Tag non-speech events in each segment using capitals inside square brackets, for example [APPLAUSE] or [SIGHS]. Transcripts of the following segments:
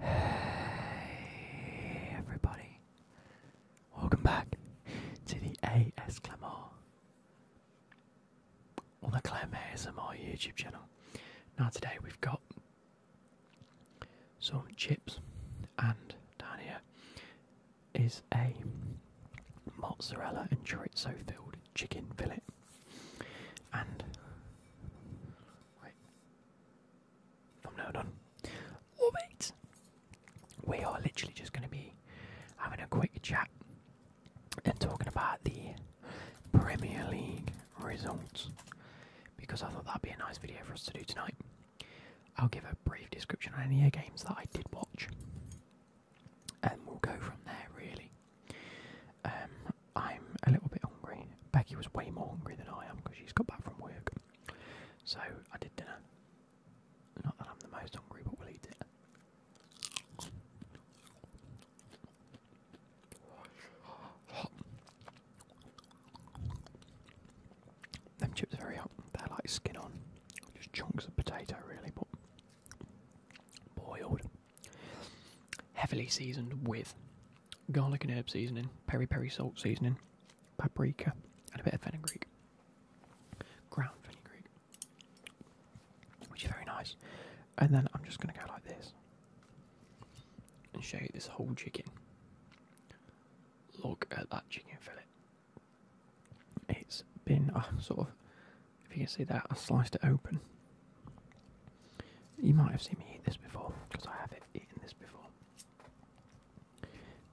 Hey everybody, welcome back to the AS Clamor on the Clam ASMR YouTube channel. Now today we've got some chips and down here is a mozzarella and chorizo filled chicken fillet and wait from now on. Love it! We are literally just going to be having a quick chat and talking about the Premier League results because I thought that'd be a nice video for us to do tonight. I'll give a brief description on any games that I did watch and we'll go from there really. Um, I'm a little bit hungry. Becky was way more hungry than I am because she's got back from work. So I did dinner. Not that I'm the most hungry, but we'll eat it. Them chips are hot. They're like skin on, just chunks of potato, really, but boiled heavily seasoned with garlic and herb seasoning, peri peri salt seasoning, paprika, and a bit of fenugreek. Ground fenugreek. Which is very nice. And then I'm just going to go like this and show you this whole chicken. Look at that chicken fillet. It's been uh, sort of, if you can see that, I sliced it open you might have seen me eat this before, because I have eaten this before.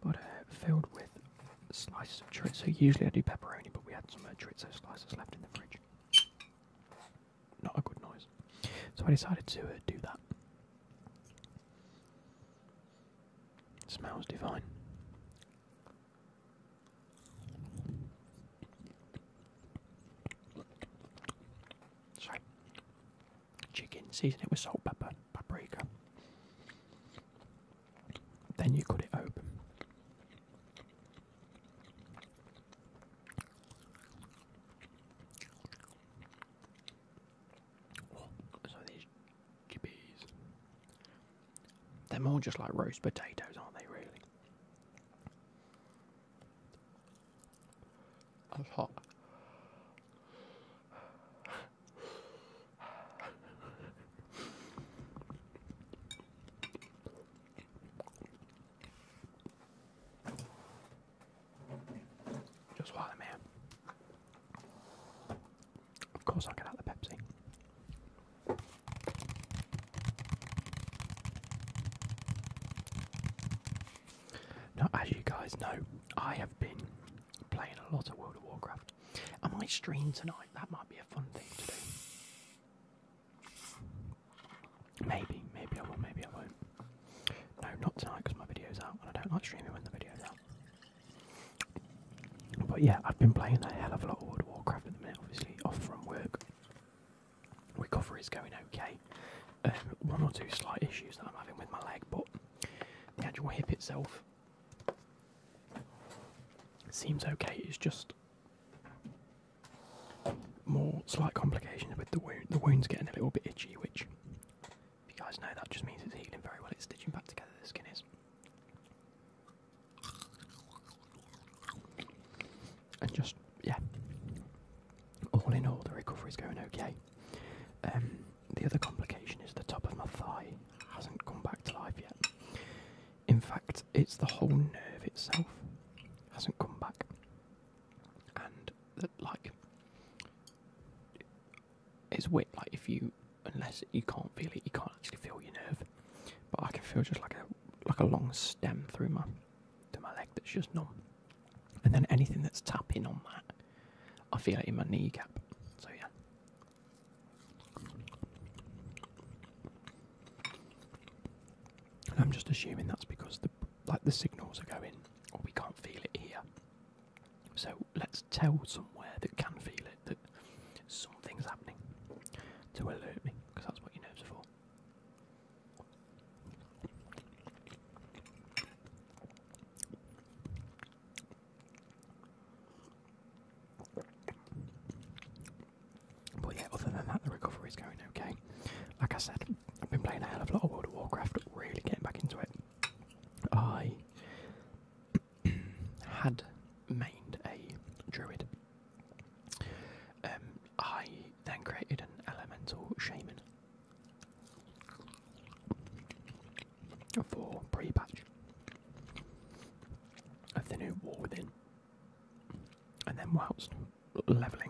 But uh, filled with slices of chorizo. Usually I do pepperoni, but we had some uh, chorizo slices left in the fridge. Not a good noise. So I decided to uh, do that. smells divine chicken, season it with salt, pepper, paprika. Then you cut it open. so these jibbies. They're more just like roast potatoes, aren't they, really? That's hot. Just while i Of course I'll get out the Pepsi. Now, as you guys know, I have been playing a lot of World of Warcraft. I might stream tonight. That might be a fun thing to do. Maybe, maybe I will, maybe I won't. No, not tonight because my video's out, and I don't like streaming when the video's out. But yeah, I've been playing a hell of a lot of World of Warcraft at the minute, obviously, off from work. Recovery is going okay. Um, one or two slight issues that I'm having with my leg, but the actual hip itself seems okay. It's just more slight complications with the wound. The wound's getting a little bit itchy, which, if you guys know, that just means it's healing very well. It's stitching back together, the skin is and just yeah. All in all, the recovery's going okay. Um, the other complication is the top of my thigh hasn't come back to life yet. In fact, it's the whole nerve itself hasn't come back, and that like it's weird. Like if you, unless you can't feel it, you can't actually feel your nerve. But I can feel just like a like a long stem through my to my leg that's just numb. And then anything that's tapping on that, I feel it in my kneecap. So, yeah. I'm just assuming that's because the like the signals are going, or we can't feel it here. So let's tell somewhere that can feel it that something's happening to alert me, because that's what your nerves are for. But yeah, other than that, the recovery's going okay. Like I said, I've been playing a hell of a lot of World of Warcraft, really getting back into it. I [CLEARS THROAT] had made a druid um, I then created an elemental shaman for pre-patch of the new War Within, and then whilst leveling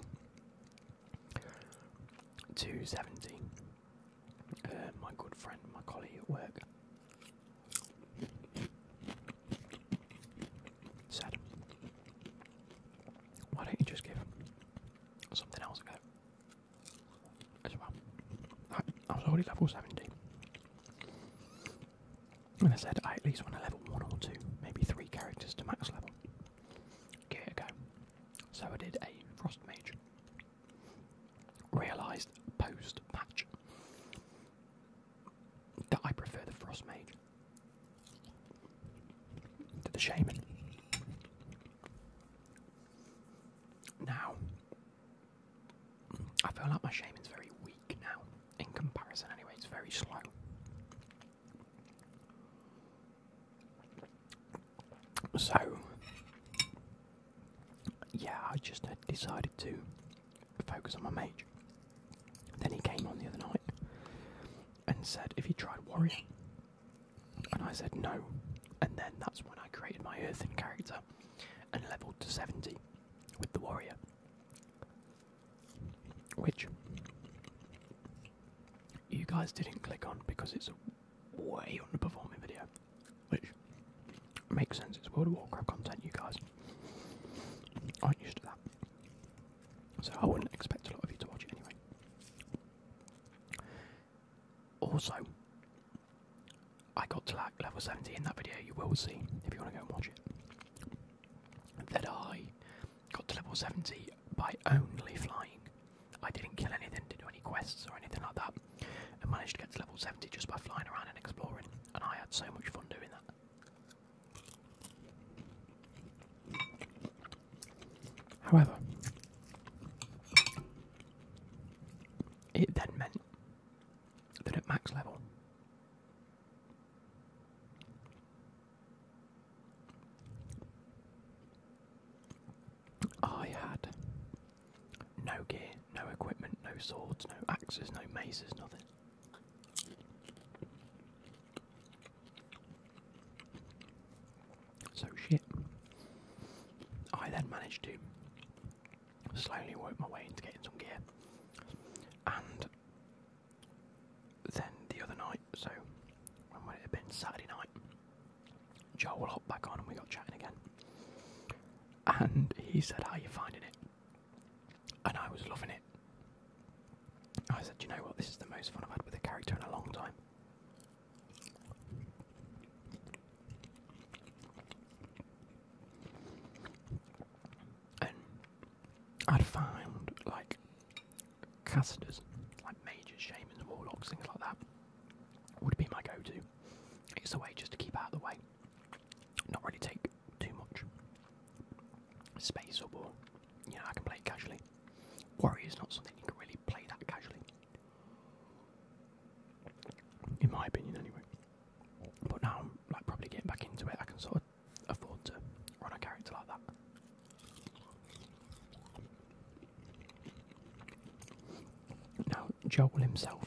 to seventy, uh, my good friend, my colleague at work. Said, why don't you just give something else a go as well? I, was already level 70. And I said I at least want to level 1 or 2, maybe 3 characters to max level. Give it a go. So I did a Frost Mage. Realised post patch that I prefer the Frost Mage to the shaman. Now, I feel like my is very weak now, in comparison, anyway, it's very slow. So, yeah, I just decided to focus on my mage. Then he came on the other night, and said if he tried warrior. And I said no. And then that's when I created my earthen character and leveled to 70 with the warrior. Which you guys didn't click on because it's a way underperforming video. Which makes sense, it's World of Warcraft content, you guys. Aren't used to that. So I wouldn't expect a lot of you to watch it anyway. Also, I got to like level 70 in that video, you will see if you want to go and watch it. That I got to level 70 by only flying. I didn't kill anything, didn't do any quests or anything like that, and managed to get to level 70 just by flying around and exploring, and I had so much fun doing that. However, it then meant that at max level, I had no gear, no equipment, no swords, no axes, no maces, nothing. So shit. I then managed to slowly work my way into getting some gear. And then the other night, so when would it have been? Saturday night, Joel hopped back on and we got chatting again. And he said, How are you finding it? and I was loving it. I said, you know what, this is the most fun I've had with a character in a long time. And I'd find like casters, like mages, the warlocks, things like that, would be my go to. It's a way just to keep out of the way, not really take too much space or war. You know, I can play casually. Worry is not something you can really play that casually. In my opinion, anyway. But now I'm like probably getting back into it. I can sort of afford to run a character like that. Now Joel himself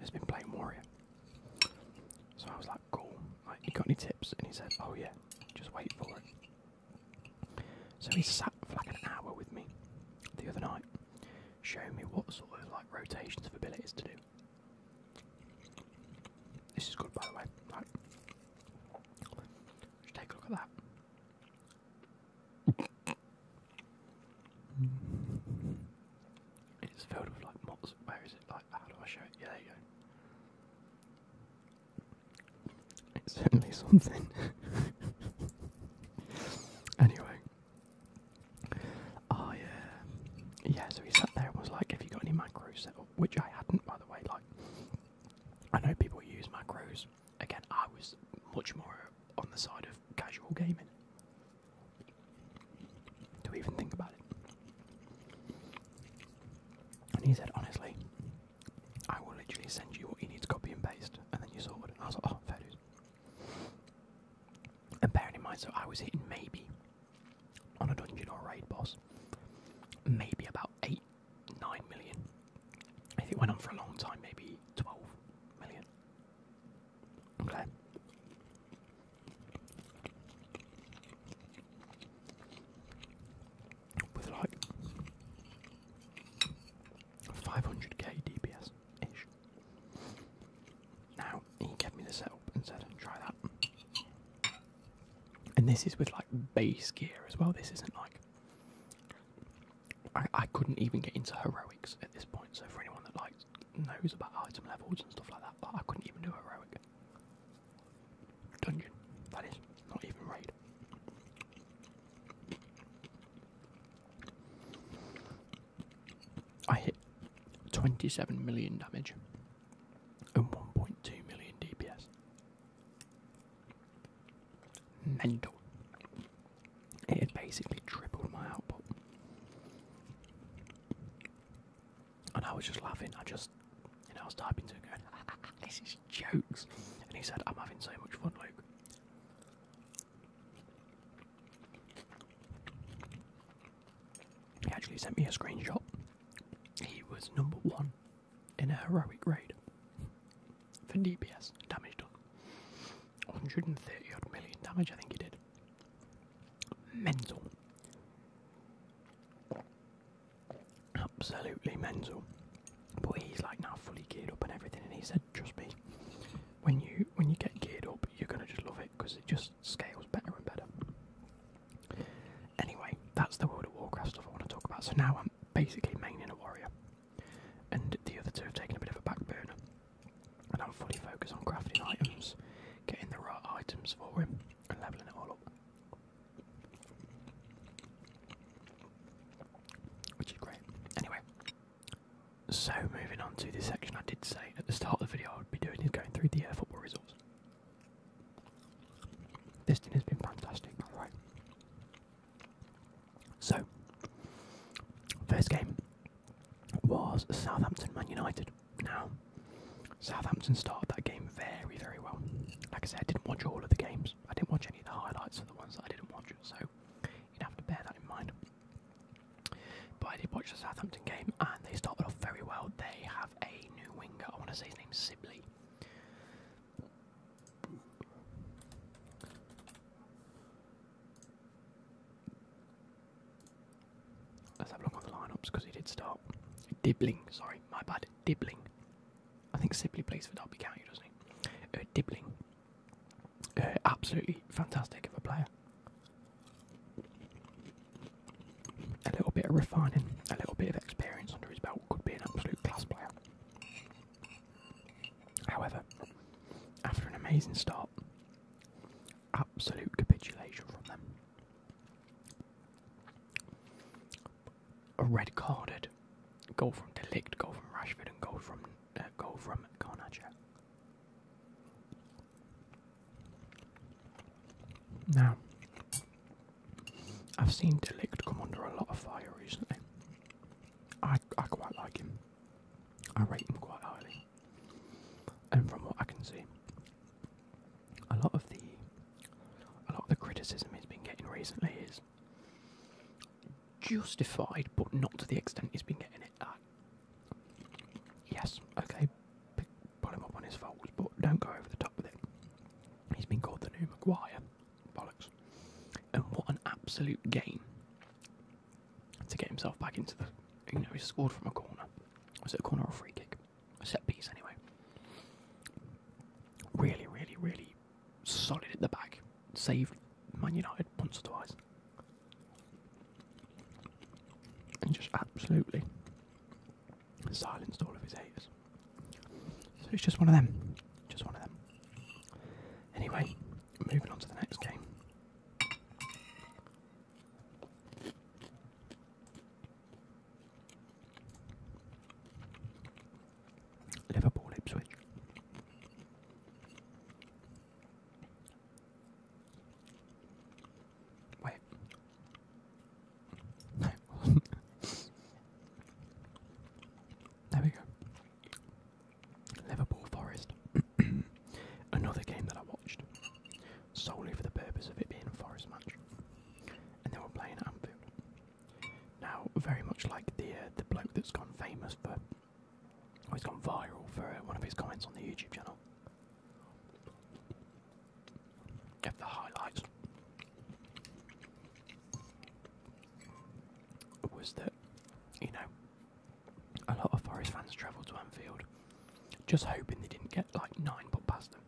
has been playing Warrior, so I was like, cool like, you got any tips? And he said, oh yeah, just wait for it. So he sat for like an hour with me the other night, showing me what sort of like rotations of abilities to do. This is good, by the way. Right. take a look at that. It's filled with like moths. Where is it? Like, how do I show it? Yeah, there you go. It's certainly something. [LAUGHS] anyway. Oh yeah. so he sat there and was like, Have you got any macros set up? Which I hadn't by the way, like I know people use macros. Again, I was much more on the side of casual gaming. To even think about it. And he said, honestly, I will literally send you what you need to copy and paste, and then you sort it. And I was like, oh, fair dues. And bearing in mind, so I was hitting maybe on a dungeon or raid boss, maybe about 8, 9 million. If it went on for a long time, maybe 12 million. Okay with like 500k DPS ish. Now he gave me the setup and said, "Try that." And this is with like base gear as well. This isn't like I, I couldn't even get into heroics at this point. So for anyone that like knows about item levels and stuff like that, I couldn't even do heroic. Dungeon. That is not even raid. I hit 27 million damage and 1.2 million DPS. Mental. It basically tripled my output. And I was just laughing. I just, you know, I was typing too. him [LAUGHS] this is jokes. And he said, I'm having so much fun, Luke. He actually sent me a screenshot. He was number one in a heroic raid for DPS damage done. 130 odd million damage, I think he did. Mental. Absolutely Menzel. But he's like now fully geared up and everything, and he said, "Trust me, when you when you get geared up, you're gonna just love it because it just scales better and better." Anyway, that's the World of Warcraft stuff I want to talk about. So now I'm basically maining a warrior, and the other two have taken a bit of a back burner, and I'm fully focused on crafting items, getting the right items for him leveling it all up, which is great. Anyway, so moving on to this section, I did say at the start of the video I would be doing is going through the uh, football results. This thing has been fantastic, alright. So, first game was Southampton Man United. Now, Southampton started that game very, very well. Like I said, I didn't watch all of the games. I didn't watch any of the highlights of the ones I didn't watch, so you'd have to bear that in mind. But I did watch the Southampton game, and they started off very well. They have a new winger. I want to say his name's Sibley. Let's have a look at the lineups because he did start. Dibbling, sorry, my bad. Dibbling. I think Sibley plays for Derby County, doesn't he? Uh, Dibbling. Uh, absolutely fantastic of a player. A little bit of refining, a little bit of experience under his belt could be an absolute class player. However, after an amazing start, absolute capitulation from them a red carded goal from Delikt. goal from Rashford, and goal from uh, from Garnacho. Now, I've seen Delikt come under a lot of fire recently. I I quite like him. I rate him quite highly, and from what I can see, a lot of the a lot of the criticism he's been getting recently is justified, but not to the extent he's been getting it uh, Yes, okay, pick, him up on his faults, but don't go over the top with it. He's been called the new Maguire, bollocks, and what an absolute game to get himself back into the. You know, he scored from a corner. Was it a corner or a free kick? A set piece, anyway. Really, really, really solid at the back. Saved Man United once or twice. And just absolutely silenced all of his haters. So it's just one of them. Just one of them. Anyway, moving on to the next game. Liverpool Ipswich. Wait. [LAUGHS] there we go. Liverpool Forest. [CLEARS THROAT] Another game that I watched solely for the purpose of it being a Forest match, and they were playing at Anfield. Now, very much like the uh, the bloke that's gone famous for, he's gone viral for uh, one of his comments on the YouTube channel. Get the highlights. Was that you know a lot of Forest fans travel to Anfield just hoping they didn't get like nine put past them.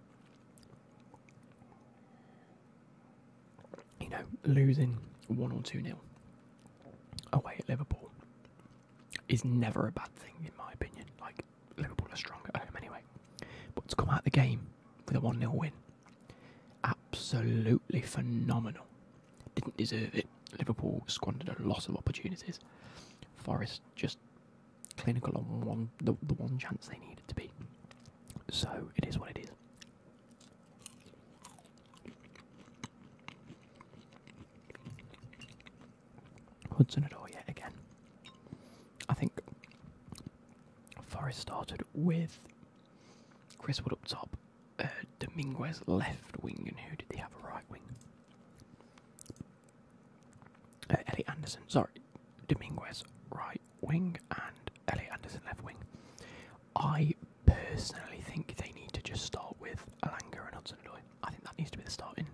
You know, losing one or two nil away at Liverpool is never a bad thing, in my opinion. Like, Liverpool are stronger at home anyway. But to come out of the game with a 1 0 win, absolutely phenomenal. Didn't deserve it. Liverpool squandered a lot of opportunities. Forest just clinical on one the, the one chance they needed to be. So it is what it is. Hudson at all yet again. I think Forest started with Chris Wood up top, uh, Dominguez left wing, and who did they have a right wing? Uh, Ellie Anderson, sorry, Dominguez right wing and Ellie Anderson left wing. I personally think they need to just start with Alanga and Hudson Odoi. I think that needs to be the starting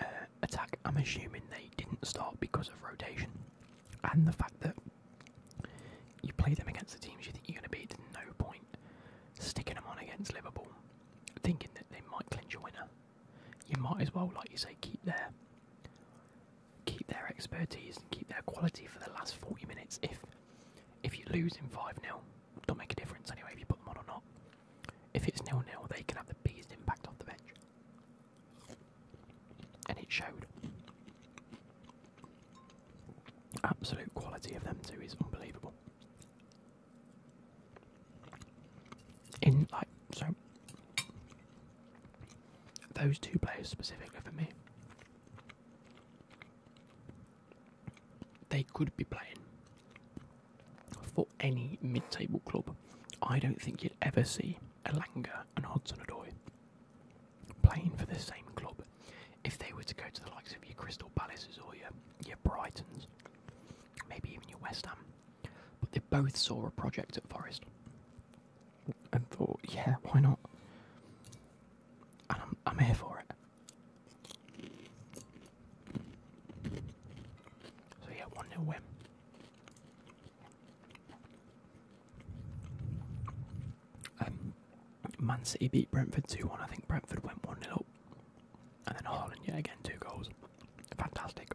uh, attack. I'm assuming they didn't start because of rotation and the fact that you play them against the teams you think you're going to beat. No point sticking them on against Liverpool thinking that they might clinch a winner. You might as well, like you say, keep their keep their expertise and keep their quality for the last 40 minutes. If if you lose in 5 0, don't make a difference anyway if you put them on or not. If it's nil nil, they can have the biggest impact off the bench. And it showed. Absolute quality of them too is unbelievable in like so those two players specifically for me they could be playing for any mid-table club i don't think you'd ever see elanga and hodson-odoi playing for the same club if they were to go to the likes of your crystal palaces or your, your brightons maybe even your West Ham. But they both saw a project at Forest and thought, yeah, why not? And I'm, here for it. So yeah, 1 0 win. Um, Man City beat Brentford 2 1. I think Brentford went 1 0 and then Holland yet again, two goals. Fantastic.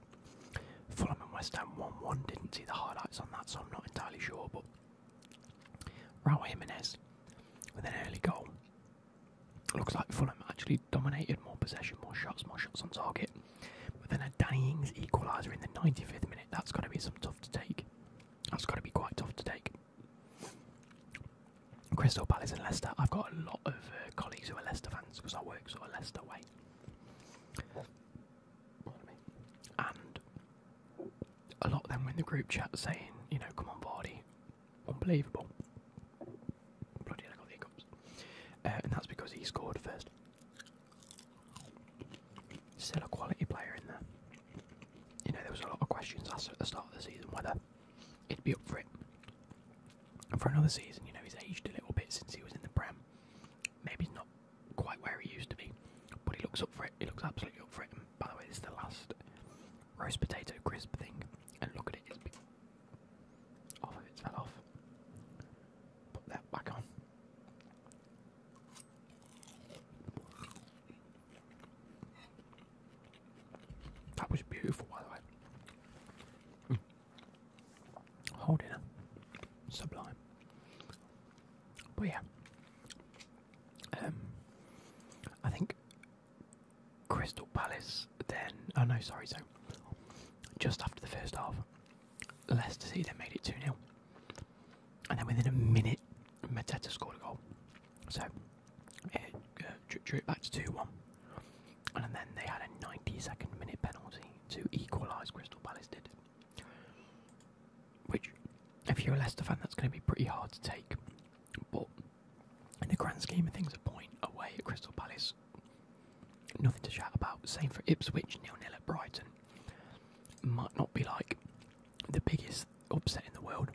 Fulham and West Ham 1-1. Didn't see the highlights on that, so I'm not entirely sure. But Raul Jimenez with an early goal. Looks like Fulham actually dominated more possession, more shots, more shots on target. But then a Danny Ings equaliser in the 95th minute. That's got to be some tough to take. That's got to be quite tough to take. Crystal Palace and Leicester. I've got a lot of uh, colleagues who are Leicester fans because I work sort of Leicester way. And a lot of them in the group chat saying, you know, come on, Vardy, unbelievable. Bloody I got the hiccups. Uh, and that's because he scored first. Still a quality player in there. You know, there was a lot of questions asked at the start of the season whether he'd be up for it for another season. You know, he's aged a little bit since he was in the Prem. Maybe he's not quite where he used to be, but he looks up for it. He looks absolutely up for it. And by the way, this is the last roast potato crisp thing, and look at it. It's big. fell off. Put that back on. That was beautiful, by the way. Mm. Whole dinner, sublime. But yeah, um, I think Crystal Palace. Then, oh no, sorry. So, just after the first half, Leicester City then made it two 0 and then within a minute, Mateta scored a goal. So it drew it back to 2 1. And then they had a 92nd minute penalty to equalise Crystal Palace did. Which, if you're a Leicester fan, that's going to be pretty hard to take. But in the grand scheme of things, a point away at Crystal Palace, nothing to shout about. Same for Ipswich, nil nil at Brighton. Might not be like the biggest upset in the world,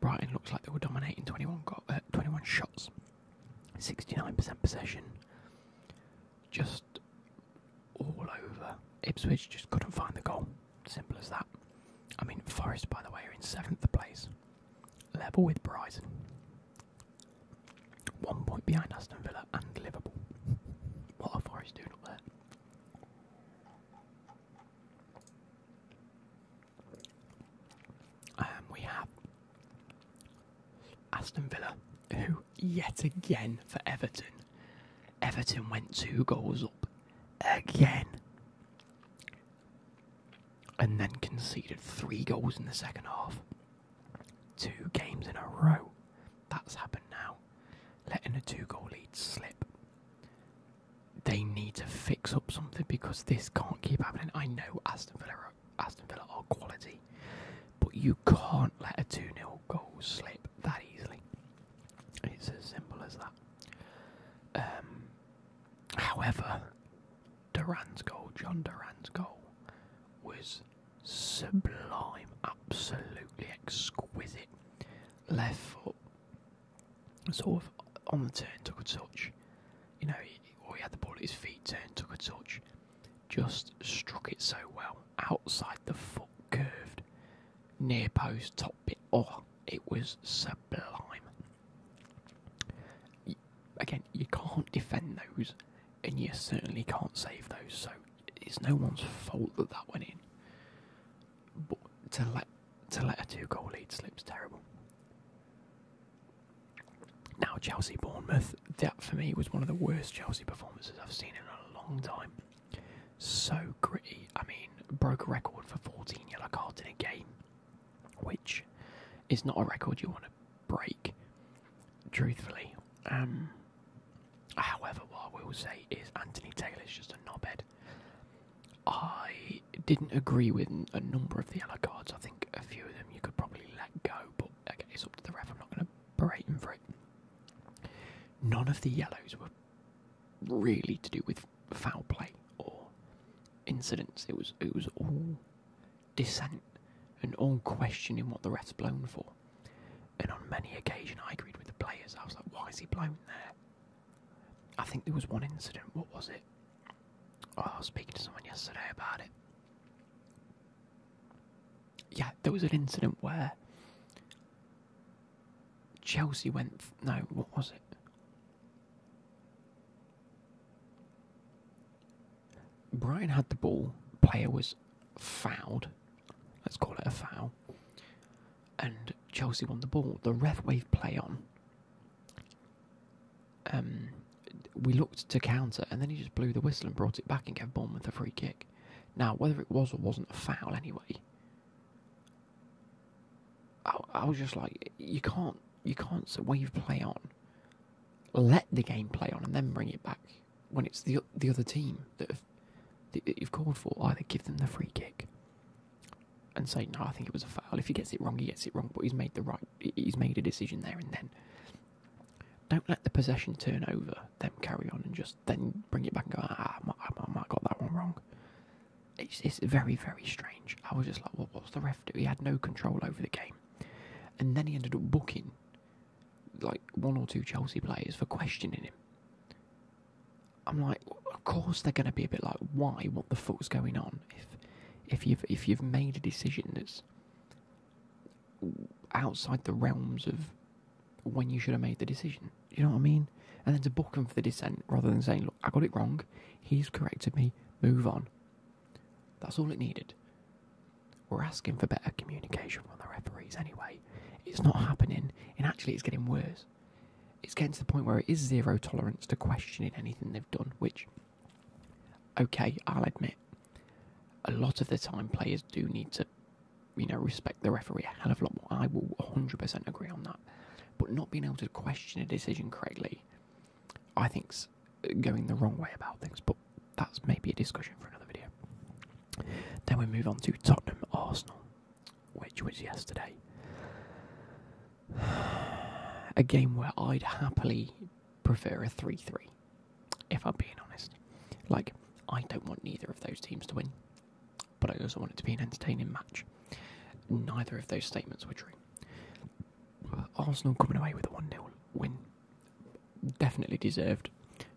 Brighton looks like they were dominating 21, got, uh, 21 shots, 69% possession, just all over. Ipswich just couldn't find the goal, simple as that. I mean, Forest, by the way, are in seventh place, level with Brighton, one point behind Aston Villa and Liverpool. [LAUGHS] What are Forest doing up there? Um, we have Aston Villa, who yet again for Everton. Everton went two goals up again and then conceded three goals in the second half. Two games in a row. That's happened now. Letting a two goal lead slip they need to fix up something because this can't keep happening. I know Aston Villa are, Aston Villa are quality, but you can't let a 2 0 goal slip that easily. It's as simple as that. Um, however, Duran's goal, John Duran's goal, was sublime, absolutely exquisite. Left sort of on the turn took a touch. You know, he, or he had the ball at his feet, turn, took a touch, just struck it so well outside the foot, curved near post, top bit. Oh, it was sublime. again, you can't defend those, and you certainly can't save those. So it's no one's fault that that went in to let to let a two goal lead slip's terrible. Now Chelsea Bournemouth, that for me was one of the worst Chelsea performances I've seen in a long time. So gritty. I mean, broke a record for 14 yellow cards in a game, which is not a record you want to break, truthfully. Um, however, what we will say is Anthony Taylor's just a knobhead. I didn't agree with a number of the yellow cards. I think a few of them you could probably let go, but okay, it's up to the ref. I'm not going to berate him for it. None of the yellows were really to do with foul play or incidents. It was it was all dissent and all questioning what the ref's blown for. And on many occasions, I agreed with the players. I was like, "Why is he blown there?" I think there was one incident. What was it? Oh, I was speaking to someone yesterday about it. Yeah, there was an incident where Chelsea went. No, what was it? Brian had the ball. Player was fouled. Let's call it a foul. And Chelsea won the ball. The ref waved play on, um, we looked to counter, and then he just blew the whistle and brought it back and gave Bournemouth a free kick. Now, whether it was or wasn't a foul, anyway, I, was just like, you can't, you can't wave play on. Let the game play on, and then bring it back when it's the the other team that you've called for. Either give them the free kick, and say no, I think it was a foul. If he gets it wrong, he gets it wrong, but he's made the right, he's made a decision there and then. Don't let the possession turn over. Then carry on and just then bring it back and go. Ah, I might, I might got that one wrong. It's, it's very very strange. I was just like, what? What's the ref do? He had no control over the game, and then he ended up booking like one or two Chelsea players for questioning him. I'm like, of course they're going to be a bit like, why? What the fuck's going on? If if you've if you've made a decision that's outside the realms of when you should have made the decision, you know what I mean? And then to book him for the dissent rather than saying, look, I got it wrong. He's corrected me. Move on. That's all it needed. We're asking for better communication from the referees anyway. It's not happening, and actually, it's getting worse. It's getting to the point where it is zero tolerance to questioning anything they've done, which, okay, I'll admit, a lot of the time players do need to, you know, respect the referee a hell of a lot more. I will 100% agree on that. But not being able to question a decision correctly, I think's going the wrong way about things. But that's maybe a discussion for another video. Then we move on to Tottenham Arsenal which was yesterday. [SIGHS] a game where I'd happily prefer a 3 3, if I'm being honest. Like, I don't want neither of those teams to win, but I also want it to be an entertaining match. Neither of those statements were true. Arsenal coming away with a 1 0 win. Definitely deserved.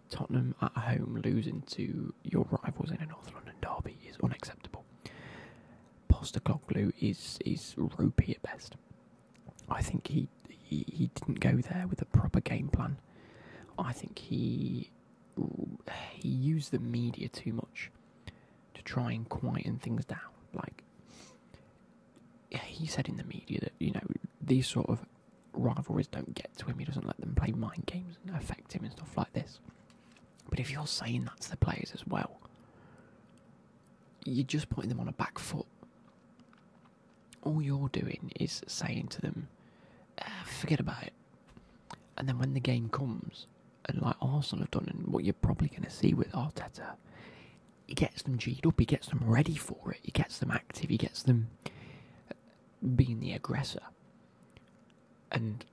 Tottenham at home losing to your rivals in a North London derby is unacceptable. Postacoglu is is ropey at best. I think he, he he didn't go there with a proper game plan. I think he he used the media too much to try and quieten things down. Like he said in the media that you know these sort of rivalries don't get to him. He doesn't let them play mind games and affect him and stuff like this. But if you're saying that to the players as well, you're just putting them on a back foot. All you're doing is saying to them, ah, forget about it. And then when the game comes, and like Arsenal have done, and what you're probably going to see with Arteta, he gets them G'd up, he gets them ready for it, he gets them active, he gets them being the aggressor. And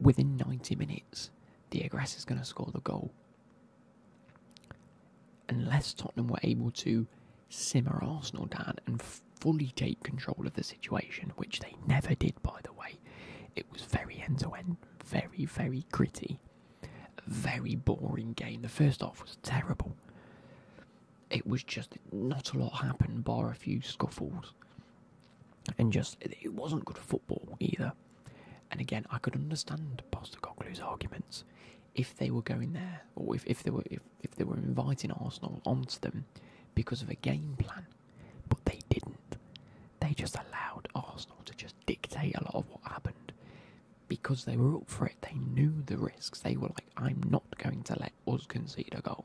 within 90 minutes, Diagras is going to score the goal. Unless Tottenham were able to simmer Arsenal down and fully take control of the situation, which they never did, by the way, it was very end to end, very, very gritty, very boring game. The first half was terrible. It was just not a lot happened, bar a few scuffles and just it wasn't good football either. And again, I could understand Postecoglou's arguments if they were going there, or if, if they were if, if they were inviting Arsenal onto them because of a game plan. But they didn't. They just allowed Arsenal to just dictate a lot of what happened because they were up for it. They knew the risks. They were like, "I'm not going to let was concede a goal.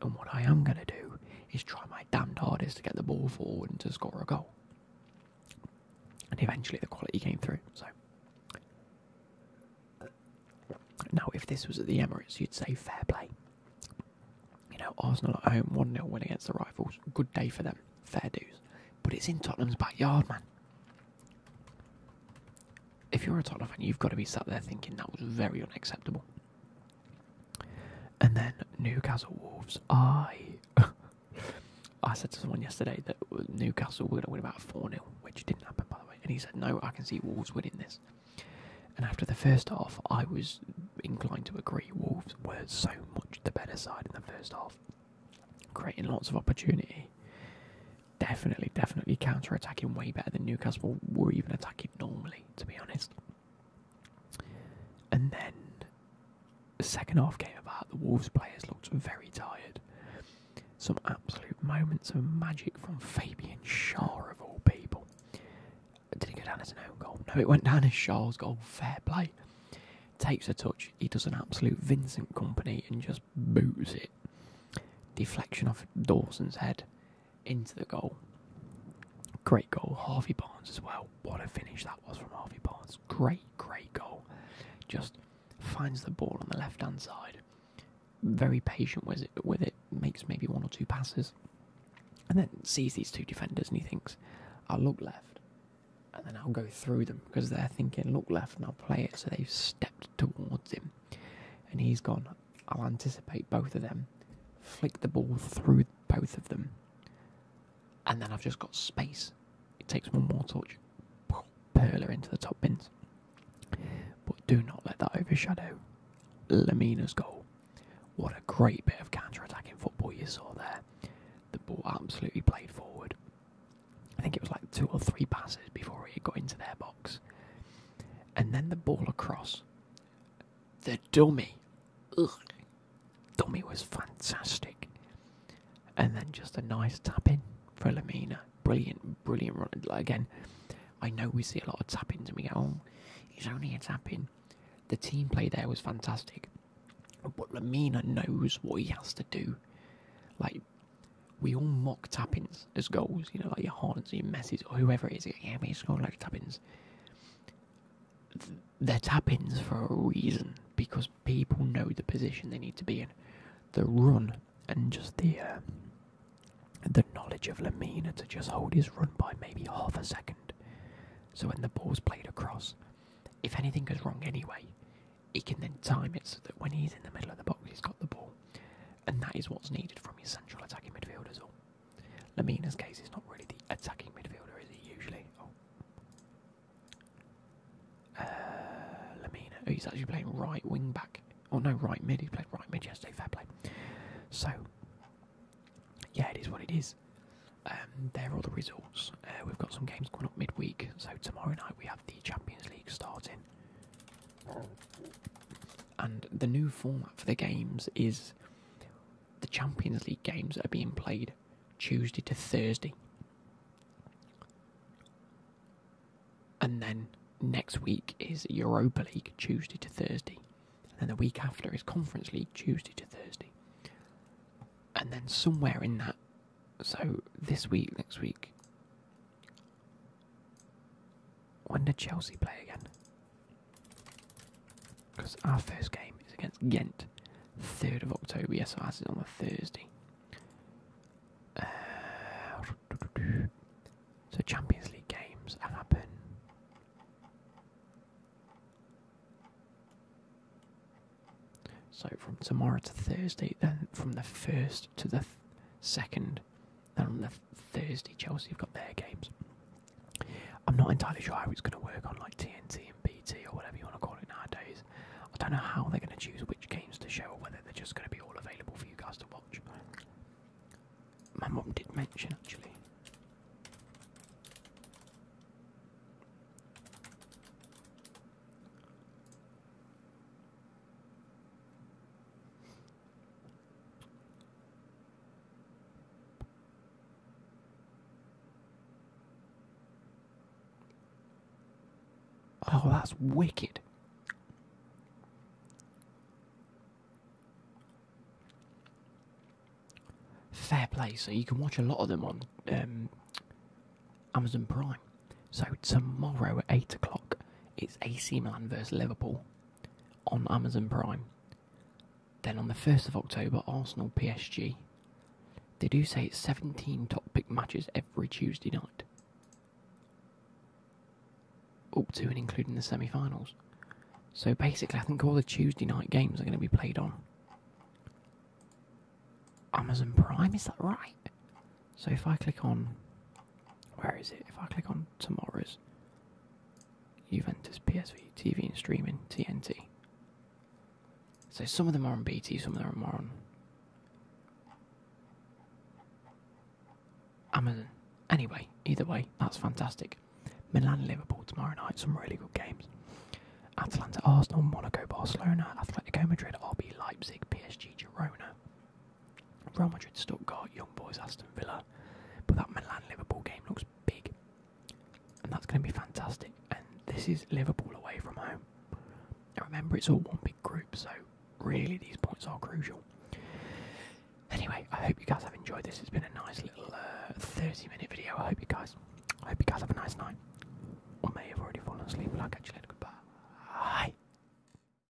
And what I am going to do is try my damned hardest to get the ball forward and to score a goal. And eventually the quality came through. So now, if this was at the Emirates, you'd say fair play. You know, Arsenal at home, 1 0 win against the rivals. Good day for them. Fair dues. But it's in Tottenham's backyard, man. If you're a Tottenham fan, you've got to be sat there thinking that was very unacceptable. And then Newcastle Wolves. I [LAUGHS] I said to someone yesterday that Newcastle were going to win about 4 0, which didn't happen, by the way. And he said, No, I can see Wolves winning this. And after the first half, I was inclined to agree. Wolves were so much the better side in the first half, creating lots of opportunity. Definitely, definitely counter attacking way better than Newcastle were even attacking normally to be honest. And then the second half came about, the Wolves players looked very tired. Some absolute moments of magic from Fabian Shaw, of all people. Did it go down as an own goal? No, it went down as Shaw's goal. Fair play. Takes a touch, he does an absolute Vincent company and just boos it. Deflection off Dawson's head into the goal. Great goal, Harvey Barnes as well. What a finish that was from Harvey Barnes. Great, great goal. Just finds the ball on the left hand side. Very patient with it, with it, makes maybe one or two passes, and then sees these two defenders and he thinks, I'll look left, and then I'll go through them because they're thinking, look left, and I'll play it. So they've stepped towards him, and he's gone, I'll anticipate both of them, flick the ball through both of them, and then I've just got space. It takes one more touch, perler into the top bins. But do not let that overshadow Lamina's goal. What a great bit of counter-attacking football you saw there. The ball absolutely played forward. I think it was like two or three passes before it got into their box. And then the ball across the dummy. Ugh. Dummy was fantastic. And then just a nice tapping for Lamina. Brilliant, brilliant run. Again, I know we see a lot of tappings and we go, oh, he's only a tapping. The team play there was fantastic. But Lamina knows what he has to do. Like, we all mock tappings tubbins goals, you know, like your Harlands, your Messes, or whoever it is. Yeah, we scored like tubbins. They're tubbins for a reason because people know the position they need to be in. The run and just the uh, the knowledge of Lamina to just hold his run by maybe half a second. So when the ball's played across, if anything goes wrong anyway, he can then time it so that when he's in the middle of the box, he's got the ball. And that is what's needed from your central attacking midfielders. as Lamina's case is not really the attacking midfielder, is he usually? Oh. Uh, Lamina, oh, he's actually playing right wing back. Oh no, right mid. He played right mid yesterday. Fair play. So, yeah, it is what it is. Um, there are all the results. Uh, we've got some games coming up midweek. So tomorrow night we have the Champions League starting and the new format for the games is the Champions League games are being played Tuesday to Thursday. And then next week is Europa League Tuesday to Thursday. And then the week after is Conference League Tuesday to Thursday. And then somewhere in that, so this week, next week, when did Chelsea play again? Because our first game is against Ghent, 3rd of October. Yes, ours is on a Thursday. Uh, so Champions League games happen. So from tomorrow to Thursday, then from the 1st to the 2nd then on the Thursday, Chelsea have got their games. I'm not entirely sure how it's going to work on like TNT and BT or whatever you want to call it nowadays. I don't know how they're going to choose which games to show or whether they're just going to be all available for you guys to watch. My mum did mention actually. Oh, that's wicked. Fair play. So you can watch a lot of them on um, Amazon Prime. So tomorrow at eight o'clock, it's AC Milan versus Liverpool on Amazon Prime. Then on the 1st of October, Arsenal PSG. They do say it's 17 top pick matches every Tuesday night. Up to and including the semi finals. So basically, I think all the Tuesday night games are going to be played on Amazon Prime, is that right? So if I click on, where is it? If I click on tomorrow's Juventus PSV TV and streaming TNT. So some of them are on BT, some of them are on Amazon. Anyway, either way, that's fantastic. Milan Liverpool tomorrow night, some really good games. Atalanta Arsenal, Monaco Barcelona, Atletico Madrid, RB Leipzig, PSG Girona, Real Madrid, Stuttgart, Young Boys, Aston Villa. But that Milan Liverpool game looks big. And that's going to be fantastic. And this is Liverpool away from home. And remember, it's all one big group, so really these points are crucial. Anyway, I hope you guys have enjoyed this. It's been a nice little uh, 30 minute video. I hope you guys I hope you guys have a nice night. Or may have already fallen asleep, but I'll catch you later. Goodbye.